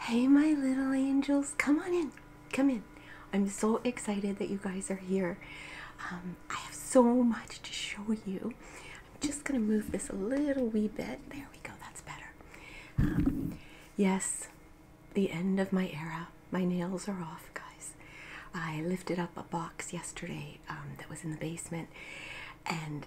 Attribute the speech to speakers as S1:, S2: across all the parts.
S1: Hey, my little angels, come on in. Come in. I'm so excited that you guys are here. Um, I have so much to show you. I'm just going to move this a little wee bit. There we go, that's better. Um, yes, the end of my era. My nails are off, guys. I lifted up a box yesterday um, that was in the basement, and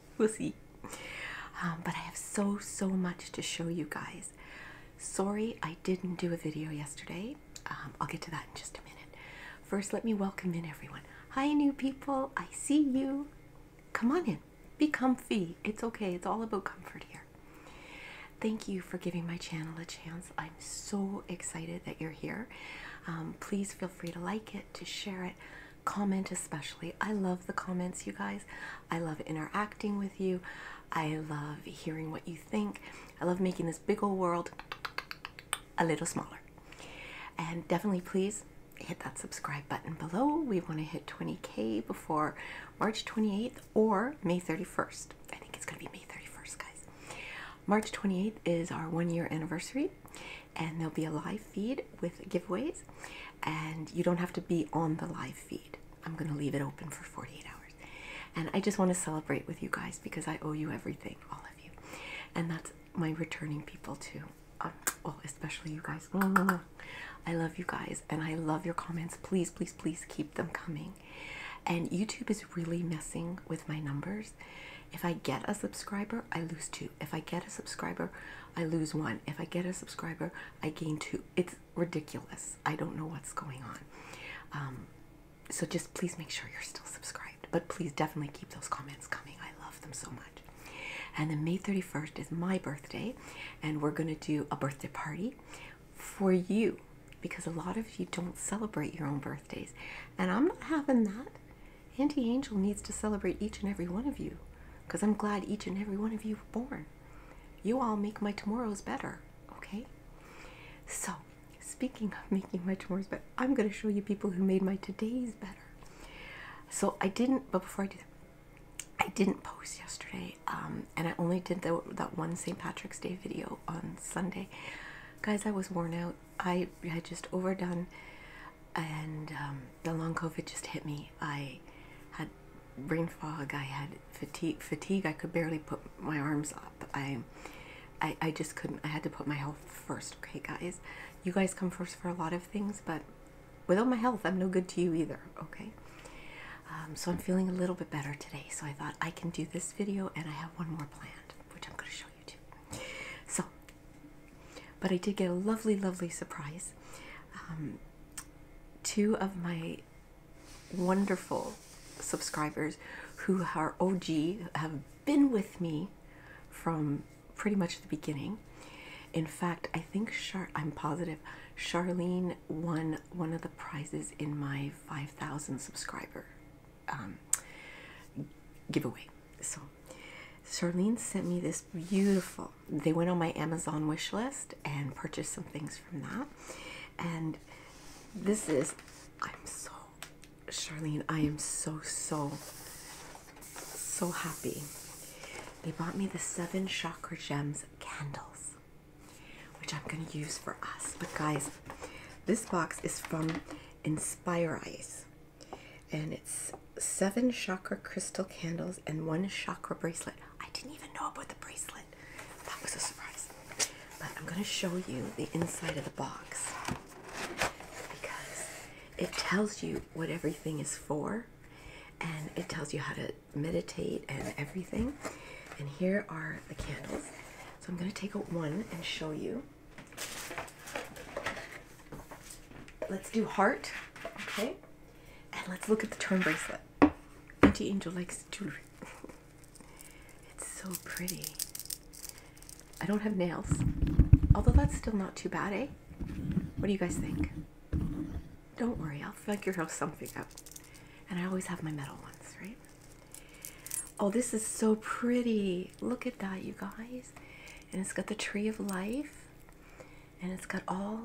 S1: we'll see. Um, but I have so, so much to show you guys. Sorry I didn't do a video yesterday. Um, I'll get to that in just a minute. First, let me welcome in everyone. Hi, new people. I see you. Come on in. Be comfy. It's okay. It's all about comfort here. Thank you for giving my channel a chance. I'm so excited that you're here. Um, please feel free to like it, to share it comment especially. I love the comments, you guys. I love interacting with you. I love hearing what you think. I love making this big old world a little smaller. And definitely, please hit that subscribe button below. We want to hit 20k before March 28th or May 31st. I think it's going to be May 31st, guys. March 28th is our one year anniversary, and there'll be a live feed with giveaways and you don't have to be on the live feed i'm going to leave it open for 48 hours and i just want to celebrate with you guys because i owe you everything all of you and that's my returning people too um, especially you guys i love you guys and i love your comments please please please keep them coming and youtube is really messing with my numbers if I get a subscriber, I lose two. If I get a subscriber, I lose one. If I get a subscriber, I gain two. It's ridiculous. I don't know what's going on. Um, so just please make sure you're still subscribed. But please definitely keep those comments coming. I love them so much. And then May 31st is my birthday, and we're going to do a birthday party for you because a lot of you don't celebrate your own birthdays. And I'm not having that. Auntie Angel needs to celebrate each and every one of you because I'm glad each and every one of you were born. You all make my tomorrows better, okay? So, speaking of making my tomorrows better, I'm going to show you people who made my todays better. So, I didn't, but before I did, I didn't post yesterday, um, and I only did that one St. Patrick's Day video on Sunday. Guys, I was worn out. I had just overdone and um, the long COVID just hit me. I had brain fog. I had fatigue. Fatigue. I could barely put my arms up. I, I, I just couldn't. I had to put my health first. Okay, guys, you guys come first for a lot of things, but without my health, I'm no good to you either. Okay. Um, so I'm feeling a little bit better today. So I thought I can do this video, and I have one more planned, which I'm going to show you too. So but I did get a lovely, lovely surprise. Um, two of my wonderful subscribers who are OG have been with me from pretty much the beginning. In fact, I think Char I'm positive Charlene won one of the prizes in my 5,000 subscriber um, giveaway. So Charlene sent me this beautiful. They went on my Amazon wish list and purchased some things from that. And this is, I'm so, Charlene, I am so, so, so happy. They bought me the Seven Chakra Gems candles, which I'm going to use for us. But guys, this box is from Inspire Eyes and it's seven chakra crystal candles and one chakra bracelet. I didn't even know about the bracelet. That was a surprise. But I'm going to show you the inside of the box because it tells you what everything is for and it tells you how to meditate and everything. And here are the candles. So I'm going to take out one and show you. Let's do heart, okay? And let's look at the charm bracelet. Auntie Angel likes jewelry. it's so pretty. I don't have nails, although that's still not too bad, eh? What do you guys think? Don't worry, I'll figure out something up. And I always have my metal ones, right? Oh, this is so pretty. Look at that, you guys. And it's got the tree of life and it's got all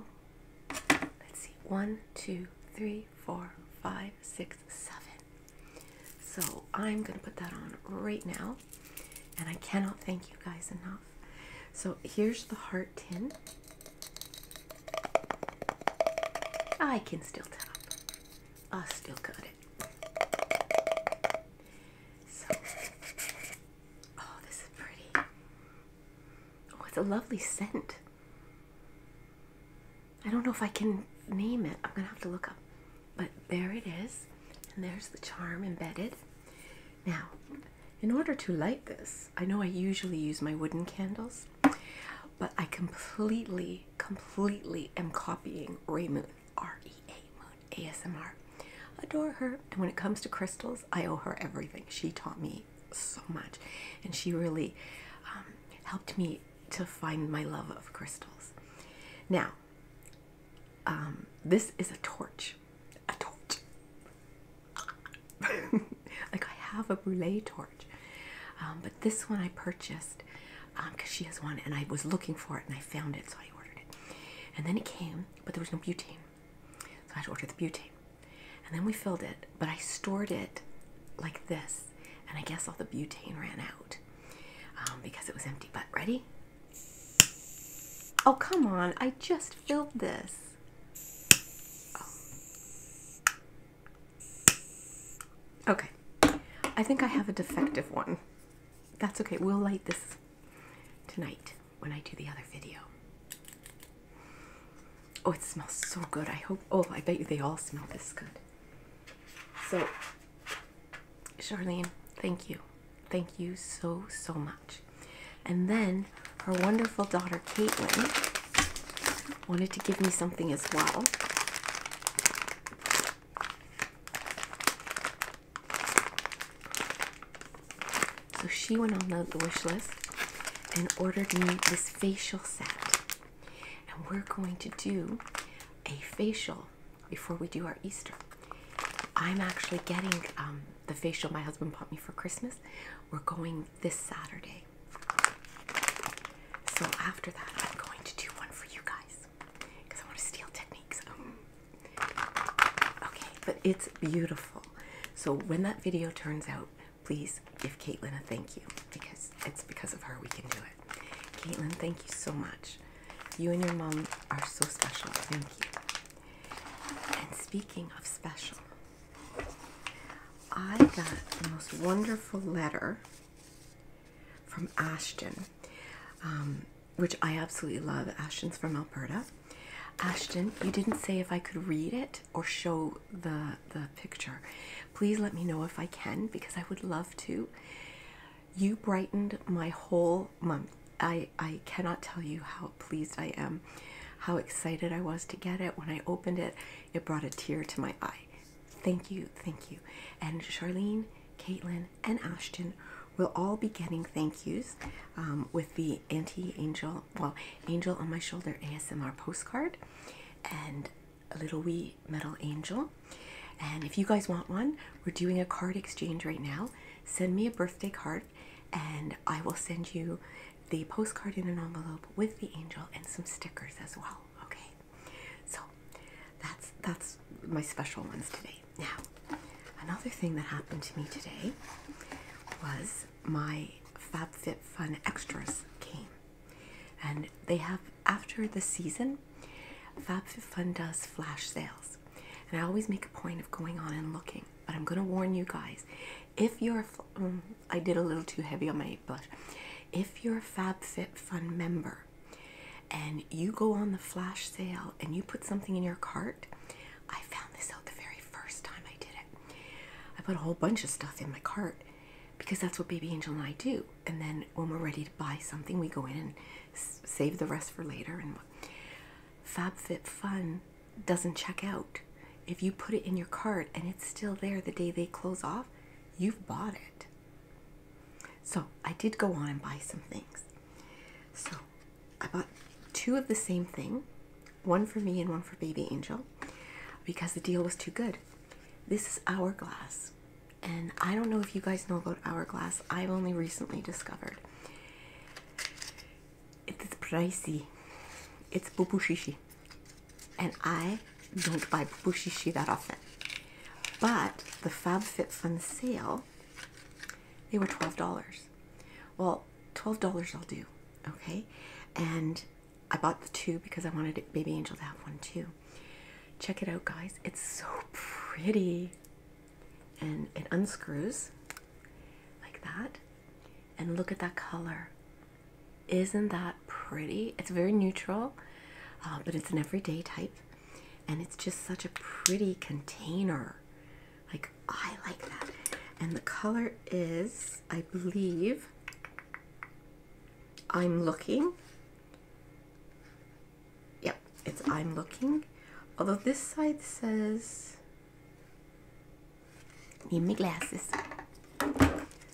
S1: let's see one two three four five six seven so i'm gonna put that on right now and i cannot thank you guys enough so here's the heart tin i can still tap i still got it so Oh, this is pretty. Oh, it's a lovely scent. I don't know if I can name it. I'm going to have to look up. But there it is. And there's the charm embedded. Now, in order to light this, I know I usually use my wooden candles, but I completely, completely am copying Ray Moon, R E A Moon. ASMR. Adore her. And when it comes to crystals, I owe her everything. She taught me so much. And she really um, helped me to find my love of crystals. Now, um, this is a torch. A torch. like I have a brûlée torch. Um, but this one I purchased because she has one and I was looking for it and I found it so I ordered it. And then it came, but there was no butane. So I had to order the butane. And then we filled it, but I stored it like this. And I guess all the butane ran out um, because it was empty. But ready? Oh, come on. I just filled this. Oh. Okay. I think I have a defective one. That's okay. We'll light this tonight when I do the other video. Oh, it smells so good. I hope. Oh, I bet you they all smell this good. So, Charlene, thank you. Thank you so, so much. And then her wonderful daughter, Caitlin, wanted to give me something as well. So she went on the wish list and ordered me this facial set. And we're going to do a facial before we do our Easter. I'm actually getting um, the facial my husband bought me for Christmas. We're going this Saturday. So after that, I'm going to do one for you guys because I want to steal techniques. Okay, but it's beautiful. So when that video turns out, please give Caitlin a thank you because it's because of her we can do it. Caitlin, thank you so much. You and your mom are so special. Thank you. And speaking of special, I got the most wonderful letter from Ashton. Um, which I absolutely love. Ashton's from Alberta. Ashton, you didn't say if I could read it or show the the picture. Please let me know if I can because I would love to. You brightened my whole month. I I cannot tell you how pleased I am. How excited I was to get it when I opened it. It brought a tear to my eye. Thank you, thank you. And Charlene, Caitlin, and Ashton will all be getting thank yous um, with the anti angel, well, angel on my shoulder ASMR postcard and a little wee metal angel. And if you guys want one, we're doing a card exchange right now. Send me a birthday card and I will send you the postcard in an envelope with the angel and some stickers as well. Okay. So that's that's my special ones today. Now, another thing that happened to me today was my FabFitFun extras came. And they have, after the season, FabFitFun does flash sales. And I always make a point of going on and looking. But I'm going to warn you guys if you're, mm, I did a little too heavy on my blush. If you're a FabFitFun member and you go on the flash sale and you put something in your cart, I found this out the very first time I did it. I put a whole bunch of stuff in my cart because that's what Baby Angel and I do. And then when we're ready to buy something, we go in and save the rest for later. And FabFitFun doesn't check out. If you put it in your cart and it's still there the day they close off, you've bought it. So I did go on and buy some things. So I bought two of the same thing one for me and one for Baby Angel because the deal was too good. This is Hourglass. And I don't know if you guys know about Hourglass. I've only recently discovered. It's pricey. It's poo poo bubushishi. And I don't buy poo bubushishi that often. But the FabFitFun sale, they were $12. Well, $12 I'll do, okay? And I bought the two because I wanted Baby Angel to have one too. Check it out, guys. It's so pretty. And it unscrews like that. And look at that color. Isn't that pretty? It's very neutral, uh, but it's an everyday type. And it's just such a pretty container. Like, I like that. And the color is, I believe, I'm looking. Yep, it's I'm looking. Although this side says, need my glasses.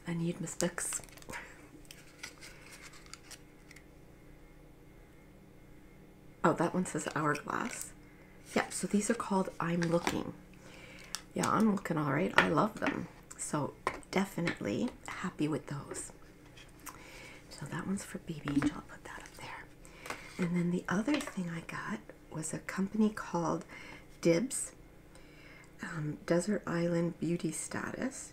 S1: I need my specs. Oh, that one says hourglass. Yeah, so these are called I'm Looking. Yeah, I'm looking all right. I love them. So definitely happy with those. So that one's for Baby Angel. I'll put that up there. And then the other thing I got was a company called Dibs um, Desert Island Beauty Status.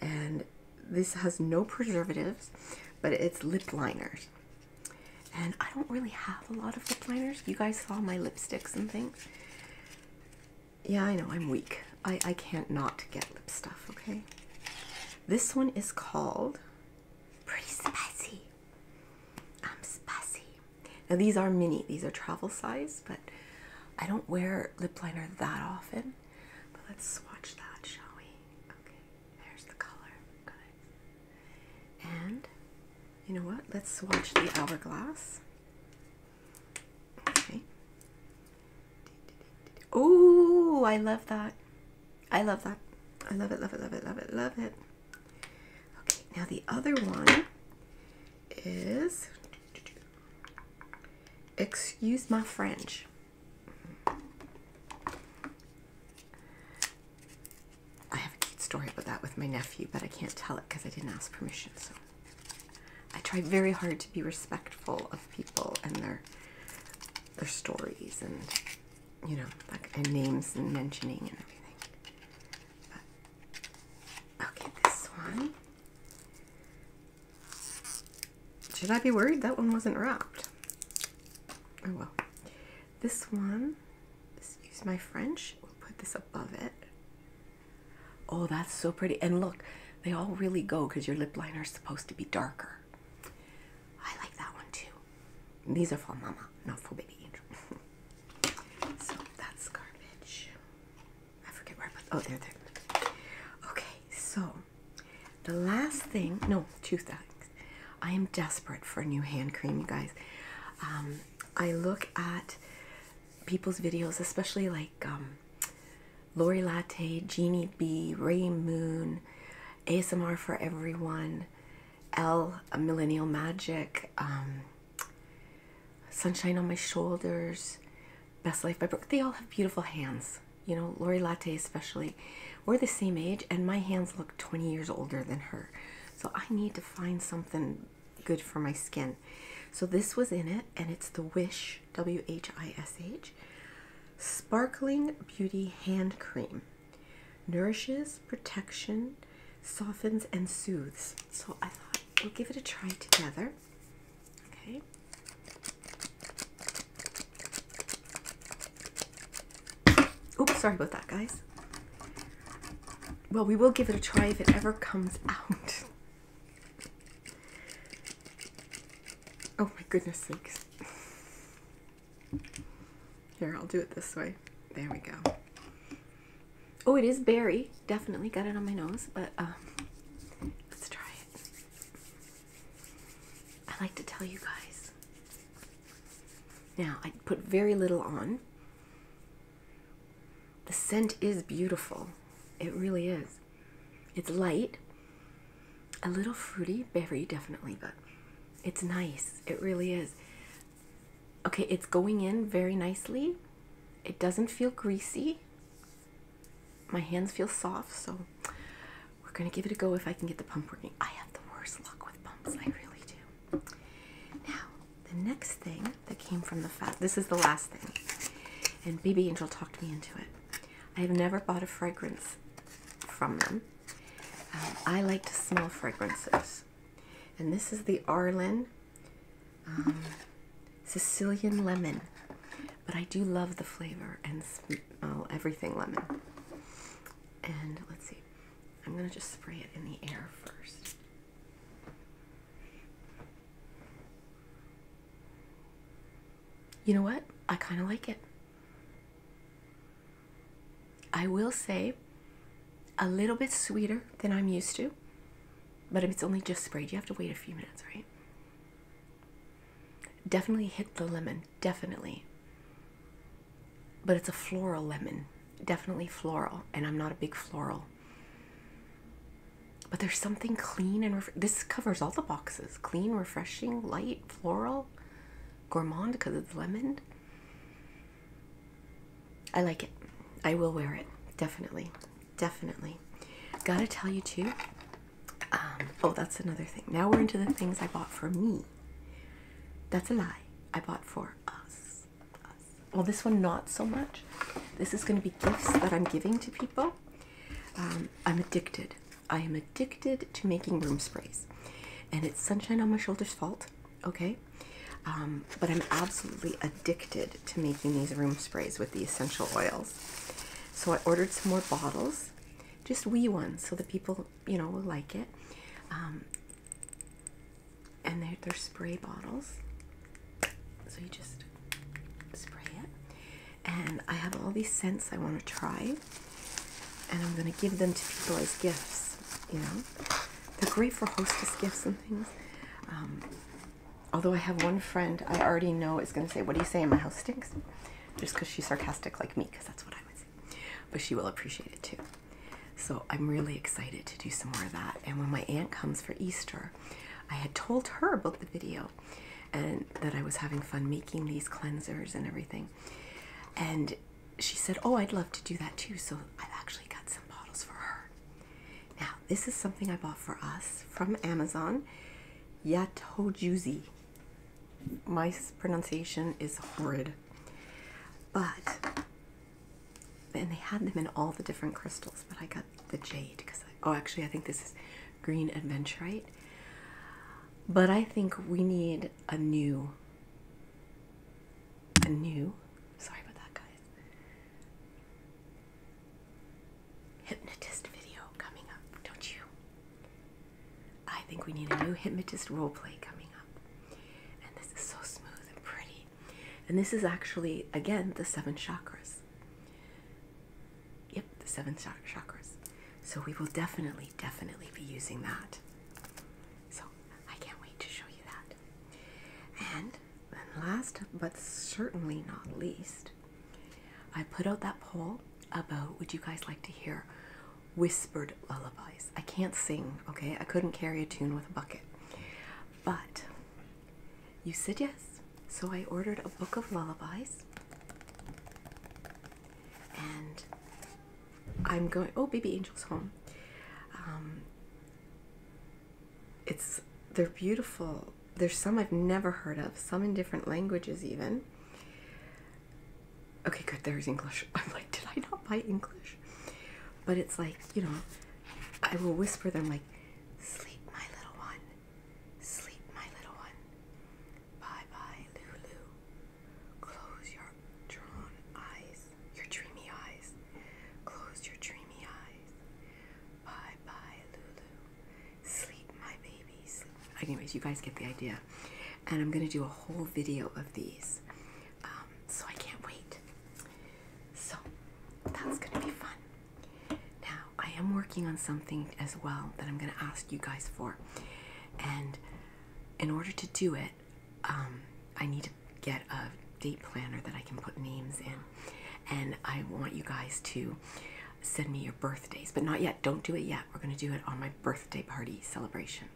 S1: And this has no preservatives, but it's lip liners and I don't really have a lot of lip liners. You guys saw my lipsticks and things. Yeah, I know I'm weak. I, I can't not get lip stuff, okay? This one is called Pretty Spicy. I'm spicy. Now these are mini, these are travel size, but I don't wear lip liner that often. But let's swatch that, shall we? Okay, there's the color. And you know what? Let's swatch the hourglass. Okay. Oh, I love that. I love that. I love it, love it, love it, love it, love it. Okay, now the other one is Excuse my French. I have a cute story about that with my nephew, but I can't tell it because I didn't ask permission. So I try very hard to be respectful of people and their their stories and you know like and names and mentioning and everything. But, okay, this one. Should I be worried? That one wasn't wrapped. Oh well. This one, excuse my French, we'll put this above it. Oh, that's so pretty. And look, they all really go because your lip liner is supposed to be darker. I like that one too. These are for mama, not for baby so that's garbage. I forget where Oh, there, there. Okay, so the last thing, no, two things. I am desperate for a new hand cream, you guys. Um, I look at people's videos, especially like um, Lori Latte, Jeannie B, Ray Moon, ASMR for Everyone, L, a Millennial Magic, um, Sunshine on My Shoulders, Best Life by Brooke. They all have beautiful hands. You know, Lori Latte especially we're the same age, and my hands look 20 years older than her. So I need to find something good for my skin. So this was in it, and it's the Wish W H I S H Sparkling Beauty Hand Cream. Nourishes, protection, softens, and soothes. So I thought we'll give it a try together. Okay. Oops, sorry about that, guys. Well, we will give it a try if it ever comes out. Oh my goodness sakes. Here, I'll do it this way. There we go. Oh, it is berry. Definitely got it on my nose, but um, let's try it. I like to tell you guys now, I put very little on. The scent is beautiful. It really is. It's light, a little fruity, berry definitely, but it's nice. It really is. Okay, it's going in very nicely. It doesn't feel greasy. My hands feel soft, so we're gonna give it a go if I can get the pump working. I have the worst luck with pumps, I really do. Now, the next thing that came from the fat, this is the last thing, and BB Angel talked me into it. I have never bought a fragrance from them. Um, I like to smell fragrances, and this is the Arlen um, Sicilian Lemon. But I do love the flavor and smell oh, everything lemon. And let's see, I'm going to just spray it in the air first. You know what? I kind of like it. I will say a little bit sweeter than I'm used to, but if it's only just sprayed, you have to wait a few minutes, right? Definitely hit the lemon, definitely but it's a floral lemon, definitely floral, and I'm not a big floral. But there's something clean and this covers all the boxes clean, refreshing, light, floral, gourmand because it's lemon. I like it. I will wear it. Definitely. Definitely. Gotta tell you too. Um, oh, that's another thing. Now we're into the things I bought for me. That's a lie. I bought for us. Well, this one not so much. This is going to be gifts that I'm giving to people. Um, I'm addicted. I am addicted to making room sprays, and it's sunshine on my shoulders' fault. Okay, um, but I'm absolutely addicted to making these room sprays with the essential oils. So I ordered some more bottles, just wee ones, so the people you know, will like it. Um, and they're, they're spray bottles. So you just spray it. And I have all these scents I want to try. And I'm going to give them to people as gifts, you know. They're great for hostess gifts and things. Um, although I have one friend I already know is going to say, What do you say? My house stinks. Just because she's sarcastic like me, because that's what I would but she will appreciate it too. So I'm really excited to do some more of that. And when my aunt comes for Easter, I had told her about the video and that I was having fun making these cleansers and everything. And she said, Oh, I'd love to do that too. So I've actually got some bottles for her. Now, this is something I bought for us from Amazon Yato my pronunciation is horrid. But and they had them in all the different crystals, but I got the jade because oh, actually I think this is green aventurite. But I think we need a new a new sorry about that guys hypnotist video coming up, don't you? I think we need a new hypnotist role play coming up. And this is so smooth and pretty. And this is actually, again, the seven chakras. Yep, the seven chakras. So we will definitely, definitely be using that. So I can't wait to show you that. And then, last but certainly not least, I put out that poll about would you guys like to hear whispered lullabies. I can't sing, okay? I couldn't carry a tune with a bucket. But you said yes. So I ordered a book of lullabies. And I'm going, oh, Baby Angel's home. Um, it's, they're beautiful. There's some I've never heard of, some in different languages, even. Okay, good, there's English. I'm like, did I not buy English? But it's like, you know, I will whisper them like, sleep, my little one. Sleep, my little one. Bye bye, Lulu. Close your drawn eyes, your dreamy eyes. Close your dreamy eyes. Bye bye, Lulu. Sleep, my baby. Sleep. Anyways, you guys get the idea and I'm going to do a whole video of these. Um, so I can't wait. So that's going to be fun. Now, I am working on something as well that I'm going to ask you guys for. And in order to do it, um, I need to get a date planner that I can put names in. And I want you guys to send me your birthdays, but not yet. Don't do it yet. We're going to do it on my birthday party celebration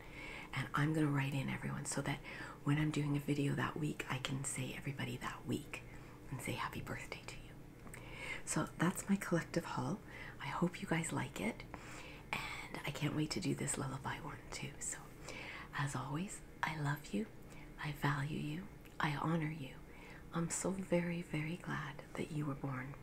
S1: and I'm gonna write in everyone so that when I'm doing a video that week, I can say everybody that week and say happy birthday to you. So that's my collective haul. I hope you guys like it, and I can't wait to do this lullaby one too. So, as always, I love you, I value you, I honor you. I'm so very, very glad that you were born.